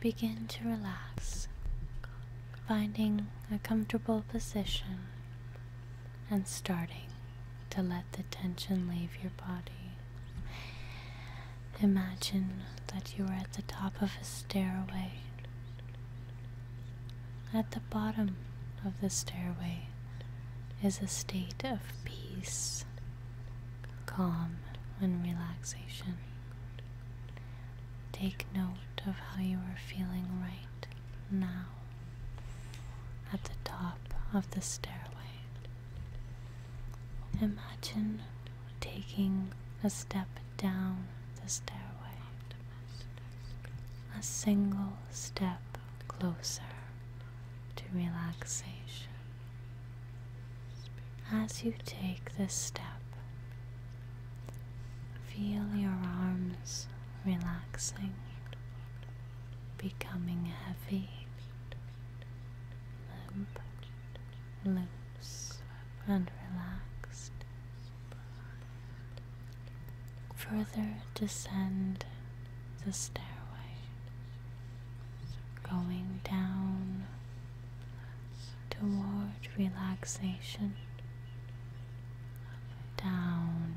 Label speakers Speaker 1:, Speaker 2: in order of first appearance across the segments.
Speaker 1: Begin to relax, finding a comfortable position and starting to let the tension leave your body. Imagine that you are at the top of a stairway. At the bottom of the stairway is a state of peace, calm, and relaxation. Take note of how you are feeling right now at the top of the stairway. Imagine taking a step down the stairway, a single step closer to relaxation. As you take this step, feel your arms relaxing, becoming heavy limp, loose, and relaxed. Further descend the stairway, going down toward relaxation, down,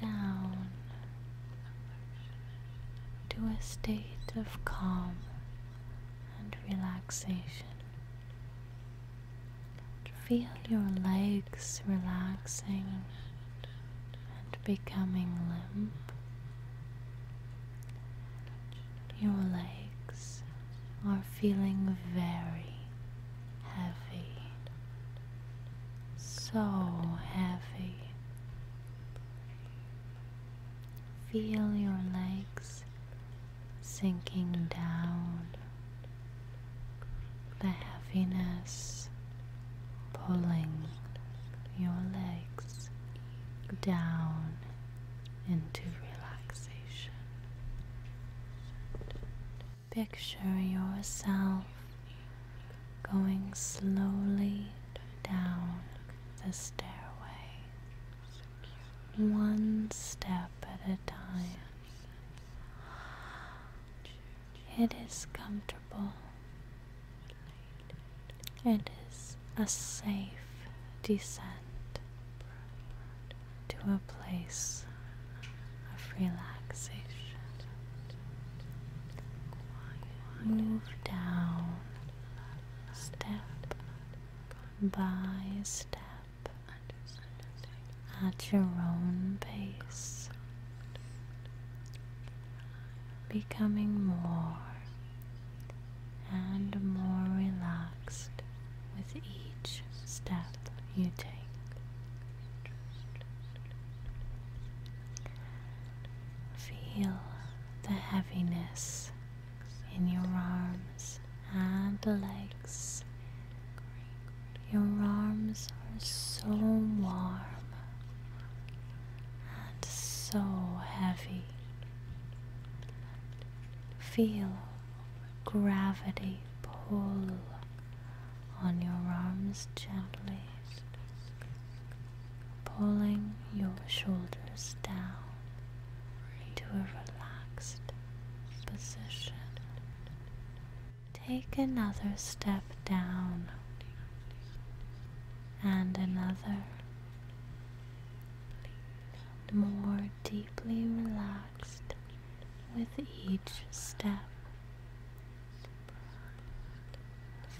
Speaker 1: down, to a state of calm and relaxation. Feel your legs relaxing and becoming limp. Your legs are feeling very heavy, so heavy. Feel your legs sinking down, the heaviness pulling your legs down into relaxation. Picture yourself going slowly down the stairway, one step at a time. It is comfortable. It is a safe descent to a place of relaxation. Move down step by step at your own pace, becoming more and more relaxed with each step you take. Feel the heaviness in your arms and legs. Your arms are so warm and so heavy. Feel gravity pull on your arms gently pulling your shoulders down into a relaxed position. Take another step down and another. More deeply relaxed with each step.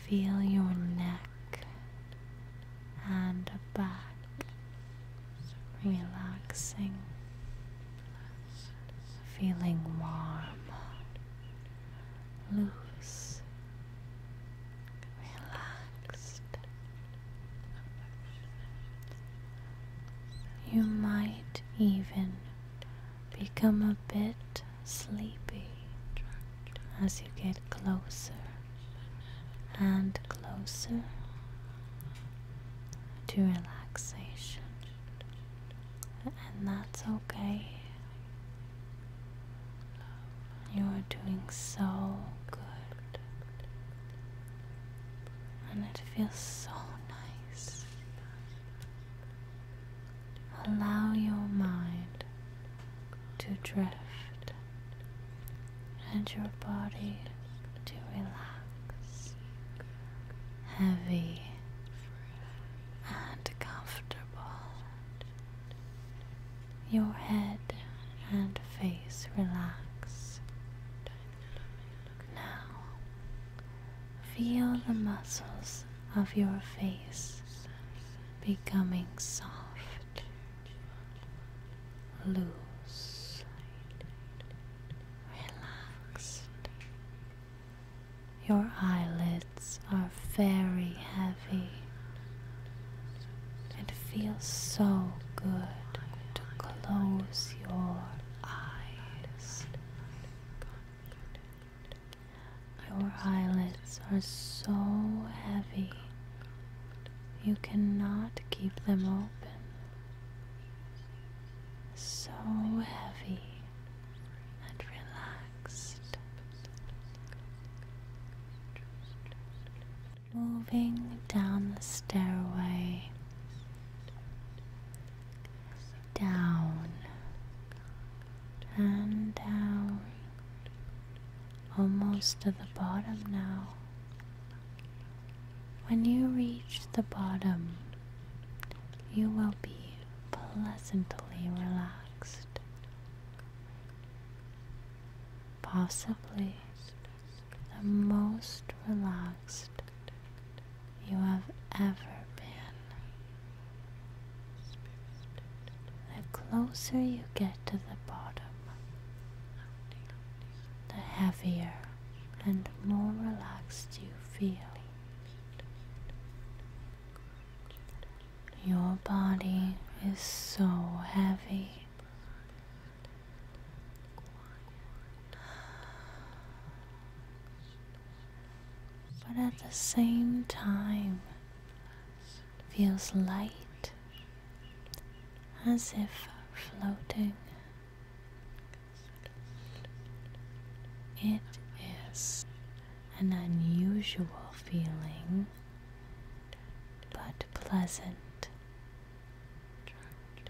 Speaker 1: Feel your neck and back relaxing, feeling warm, loose, relaxed. You might even Become a bit sleepy as you get closer and closer to relaxation, and that's okay. You are doing so good, and it feels so nice Allow your mind to drift and your body to relax, heavy and comfortable. Your head and face relax. Now, feel the muscles of your face becoming soft, loose, relaxed. Your eyelids are very heavy. It feels so good to close your eyes. Your eyelids are so heavy, you cannot keep them open. So heavy and relaxed. Moving down the stairway, down and down, almost to the bottom now. When you reach the bottom, you will be pleasantly relaxed. Possibly the most relaxed you have ever been. The closer you get to the bottom, the heavier and more relaxed you feel. Your body is so heavy but at the same time feels light as if floating. It is an unusual feeling, but pleasant,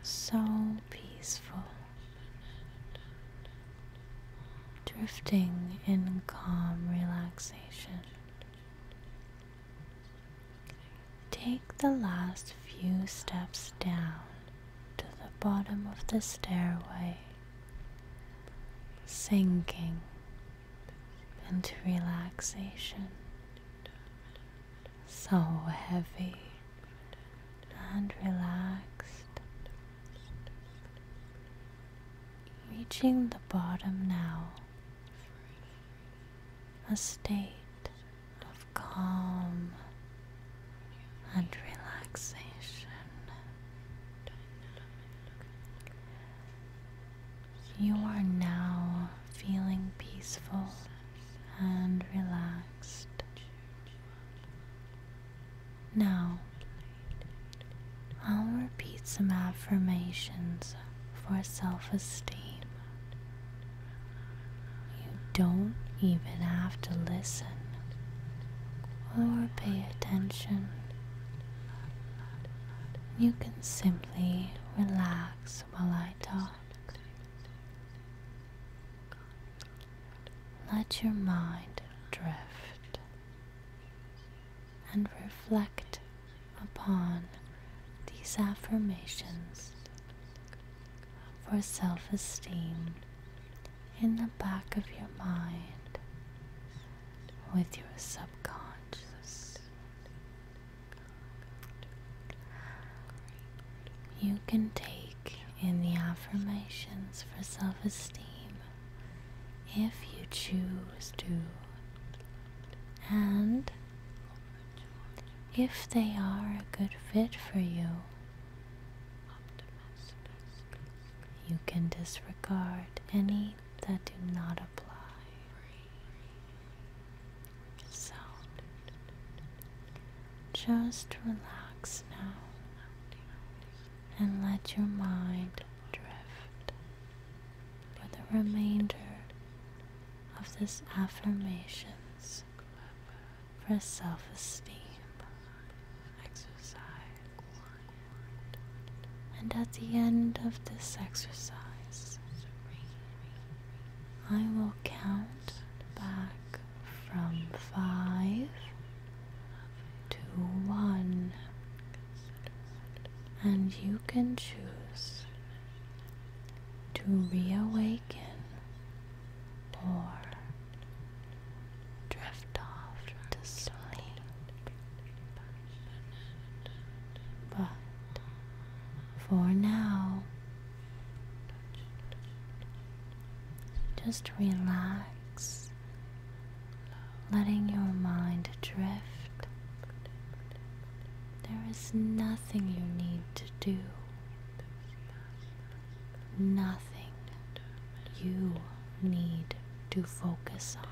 Speaker 1: so peaceful drifting in calm relaxation. Take the last few steps down to the bottom of the stairway, sinking into relaxation, so heavy and relaxed. Reaching the bottom now, a state of calm and relaxation. You are now feeling peaceful and relaxed. Now, I'll repeat some affirmations for self esteem. You don't even have to listen or pay attention. You can simply relax while I talk. Let your mind drift and reflect upon these affirmations for self esteem in the back of your mind with your subconscious. You can take in the affirmations for self esteem if you choose to, and if they are a good fit for you, you can disregard any that do not apply. So, just relax now and let your mind drift for the remainder of this affirmations for self-esteem exercise. And at the end of this exercise, I will count back from five to one, and you can choose to reawaken or drift off to sleep. But for now, just relax, letting your mind drift. There is nothing you need to do, nothing you need to focus on.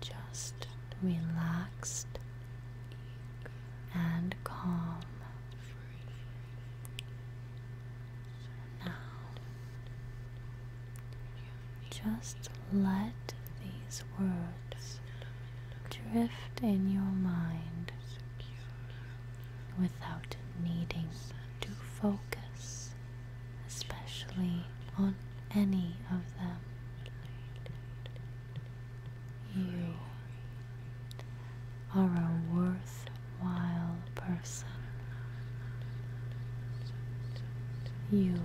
Speaker 1: Just relaxed and calm now, just let these words drift in your mind without needing to focus, especially on any of them. You are a worthwhile person. You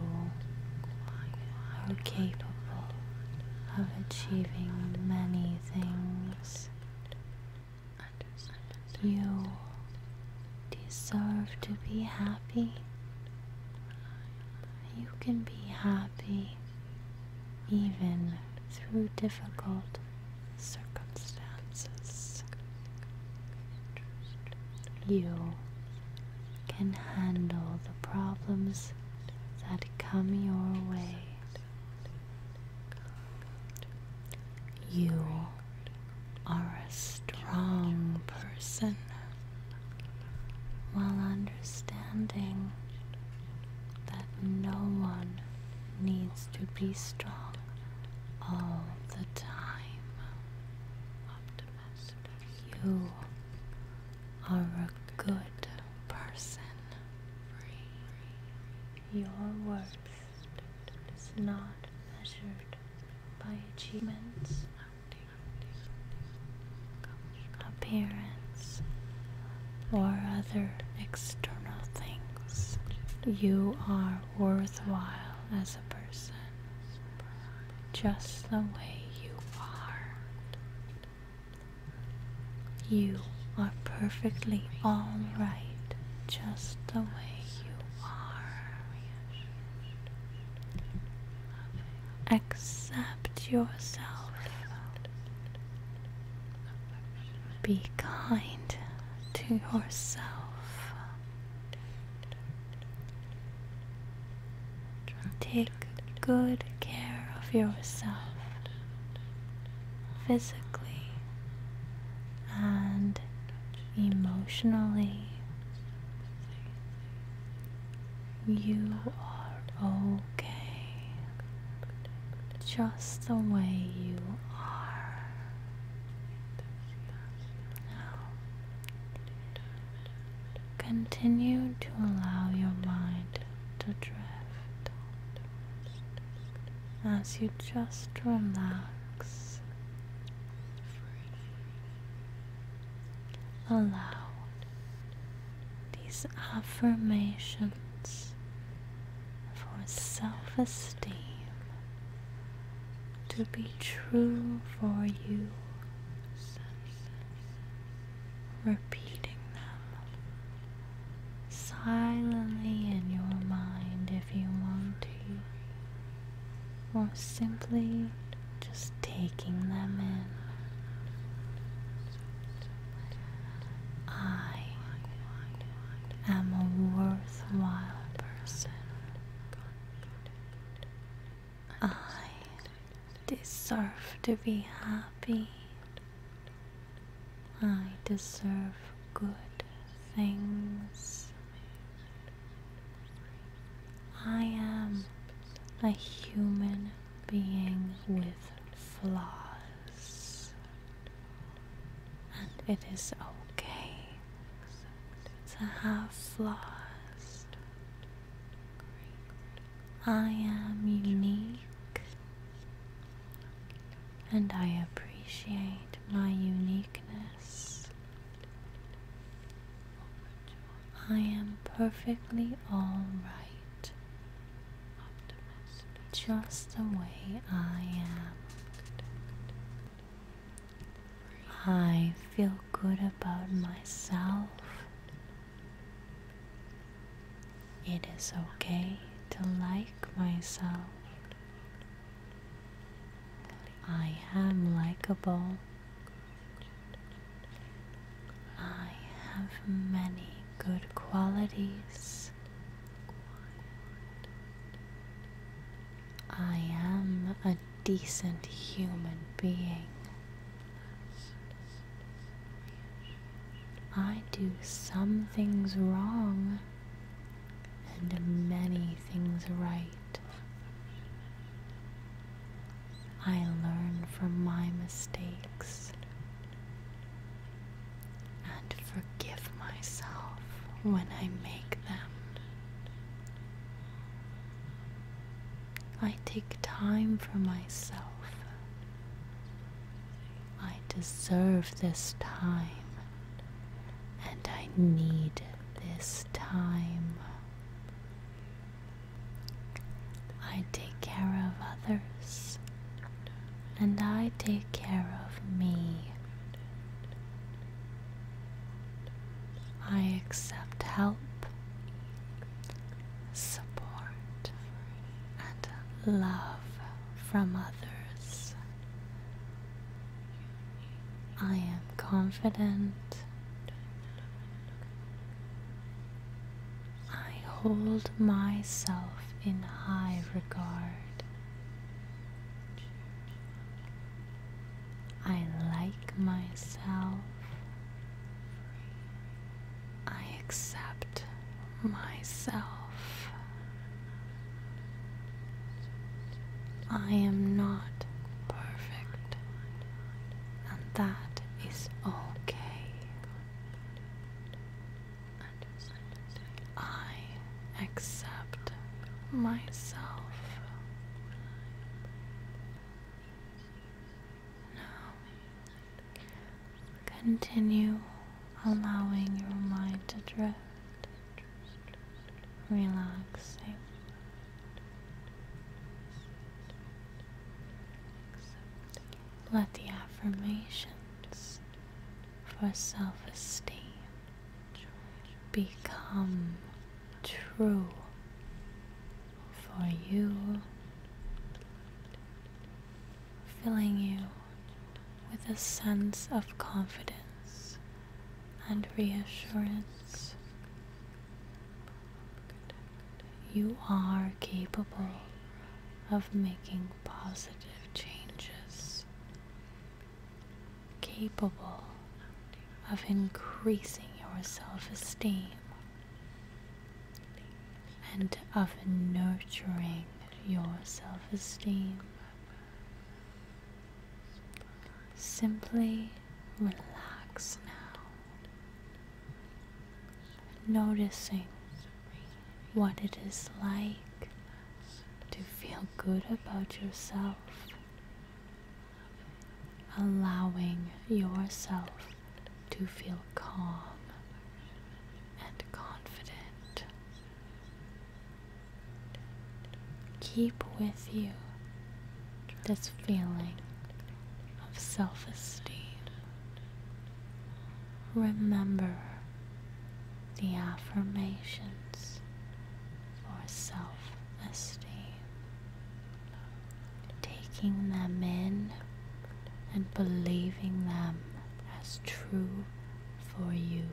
Speaker 1: are capable of achieving many things. You deserve to be happy. You can be happy even through difficult circumstances. You can handle the problems that come your way. You are a strong person while understanding that no one needs to be strong all the time. You are a good person. Your worth is not measured by achievements, appearance or other external things. You are worthwhile as a person, just the way you are. You are perfectly alright, just the way you are. Accept yourself be kind to yourself. Take good care of yourself physically and emotionally. You are okay just the way you are now continue to allow your mind to drift as you just relax allow these affirmations for self esteem to be true for you. Repeating them silently in your mind if you want to, or simply just taking them in. I am a worthwhile person. I deserve to be happy. I deserve good things. I am a human being with flaws and it is okay to have flaws. I am unique, and I appreciate my uniqueness. I am perfectly alright just the way I am. I feel good about myself. It is okay to like myself. I am likable. I have many good qualities. I am a decent human being. I do some things wrong and many things right. I learn from my mistakes and forgive myself when I make them. I take time for myself. I deserve this time, and I need this time. I take care of others, and I take care of me. I accept help, support, and love from others. I am confident. I hold myself in high regard. I like myself. I accept myself. I am not perfect, and that is okay. I accept myself. Now, continue allowing your mind to drift, relaxing. Let the affirmations for self esteem become true for you, filling you with a sense of confidence and reassurance you are capable of making positive changes, capable of increasing your self esteem and of nurturing your self esteem. Simply relax now noticing what it is like to feel good about yourself, allowing yourself to feel calm and confident. Keep with you this feeling of self esteem. Remember the affirmations for self esteem, taking them in and believing them as true for you.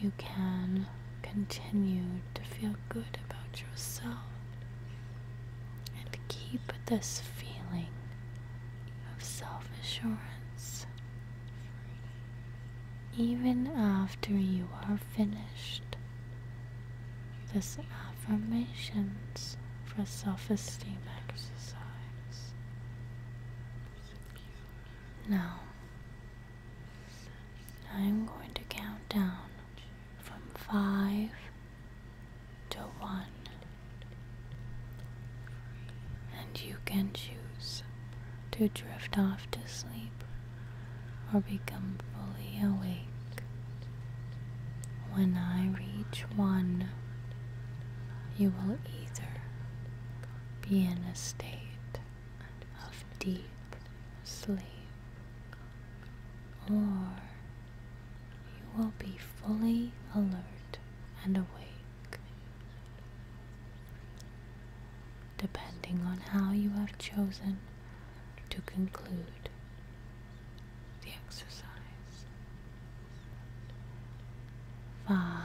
Speaker 1: You can continue to feel good about yourself and keep this feeling of self assurance even after you are finished. This affirmations for self esteem exercise. Now, I'm going to count down from five to one, and you can choose to drift off to sleep or become fully awake. When I reach one, you will either be in a state of deep sleep, or you will be fully alert and awake. Depending on how you have chosen to conclude the exercise. Five